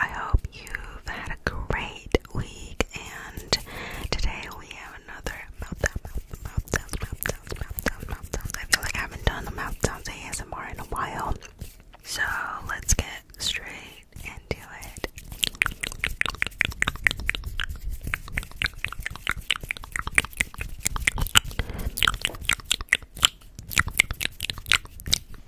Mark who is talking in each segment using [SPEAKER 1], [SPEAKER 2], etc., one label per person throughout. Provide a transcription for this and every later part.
[SPEAKER 1] I hope you've had a great week, and today we have another meltdown, mouth, mouth sounds. I feel like I haven't done the mouth sounds ASMR in a while, so let's get straight into it.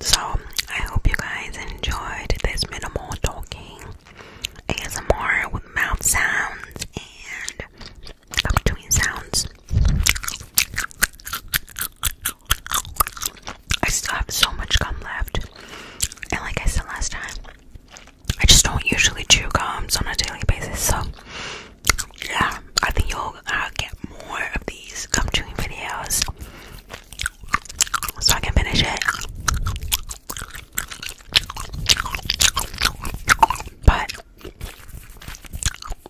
[SPEAKER 2] So I hope you guys enjoyed this minimal talking ASMR with mouth sounds and between sounds. I still have so much gum left. And like I said last time, I just don't usually chew gums on a daily basis, so yeah, I think you'll uh, get more of these gum chewing videos so I can finish it. But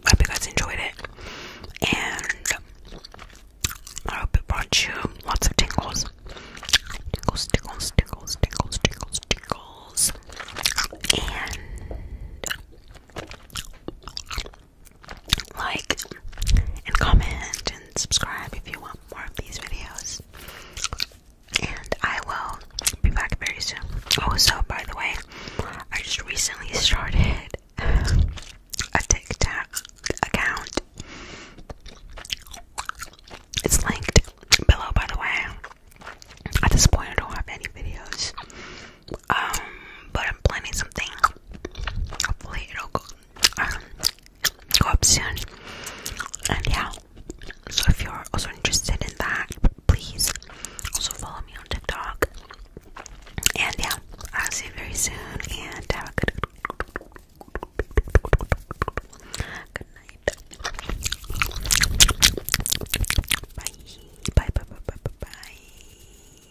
[SPEAKER 2] hope you guys enjoyed it, and I hope it brought you lots of
[SPEAKER 3] tingles. Tickles, tickles, tickles, tickles, tickles, tickles. And like and comment and
[SPEAKER 4] subscribe if you want more of these videos. And I will be back very soon. Also, by the way, I just recently started a TikTok account. It's linked below, by the way. At this point, I don't have any videos um, but I'm planning something. Hopefully, it'll um, go, up soon. And yeah, so if you're also interested in that, please also follow me on TikTok. And yeah, I'll see you very soon. And have a good, good night. Bye. Bye. Bye. Bye. Bye. bye.